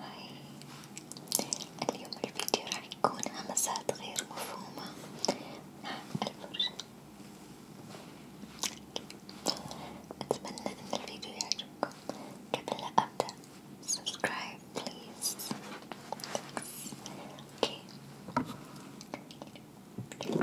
هاي اليوم الفيديو راح يكون همسات غير مفهومة مع الفرشة أتمنى أن الفيديو يعجبكم قبل لا أبدأ subscribe please okay. Okay.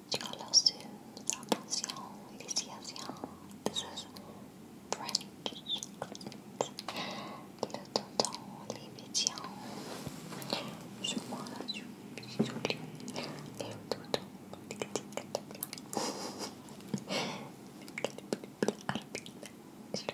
yo lo sus attention, ladies, yes, yes. This is French. Le tonton, les médians. Je m'en rajoute, j'oublie. Le tonton, tic tic tic tic. Je le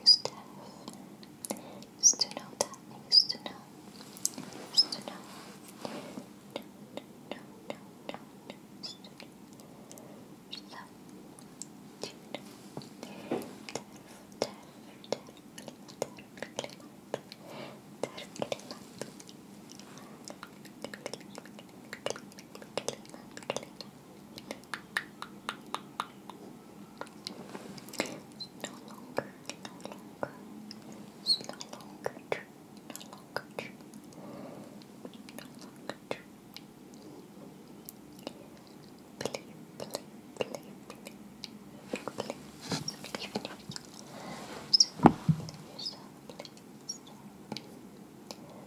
used to used to know that, used to know, used to know, no, no, no, no, no, used to know, so, terrible, terrible, terrible, terrible, terrible, it's no longer, no longer, it's no longer true, no longer true, no longer true. Believe, believe, believe, believe, believe, believe in yourself, believe in yourself, believe in yourself, believe in yourself.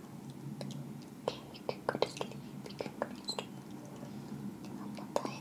Okay, you can go to sleep. You can go to sleep. I'm not tired.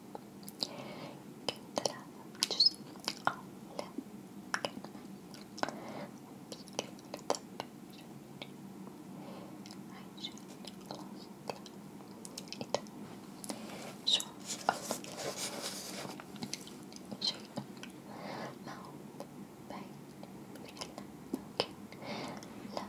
كنت لعب جزء أول كلمة وبشكل متبر عشان خلاص إذا شوف أول شيء ما هو باين بالكلمة ممكن لا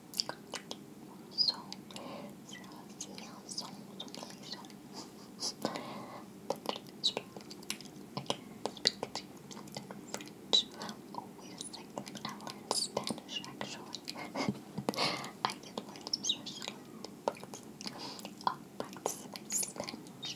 松，是要尽量松，松的一松。Okay, speak to you French. Oh wait a Spanish actually. I did learn Spanish to practice, practice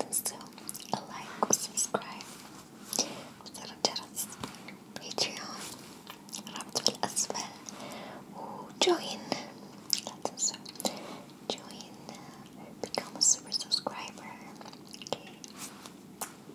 Let's do a like or subscribe. وترى جرس باتريون رابط في الأسفل وjoin. لا تنسوا join. Become a super subscriber. Okay.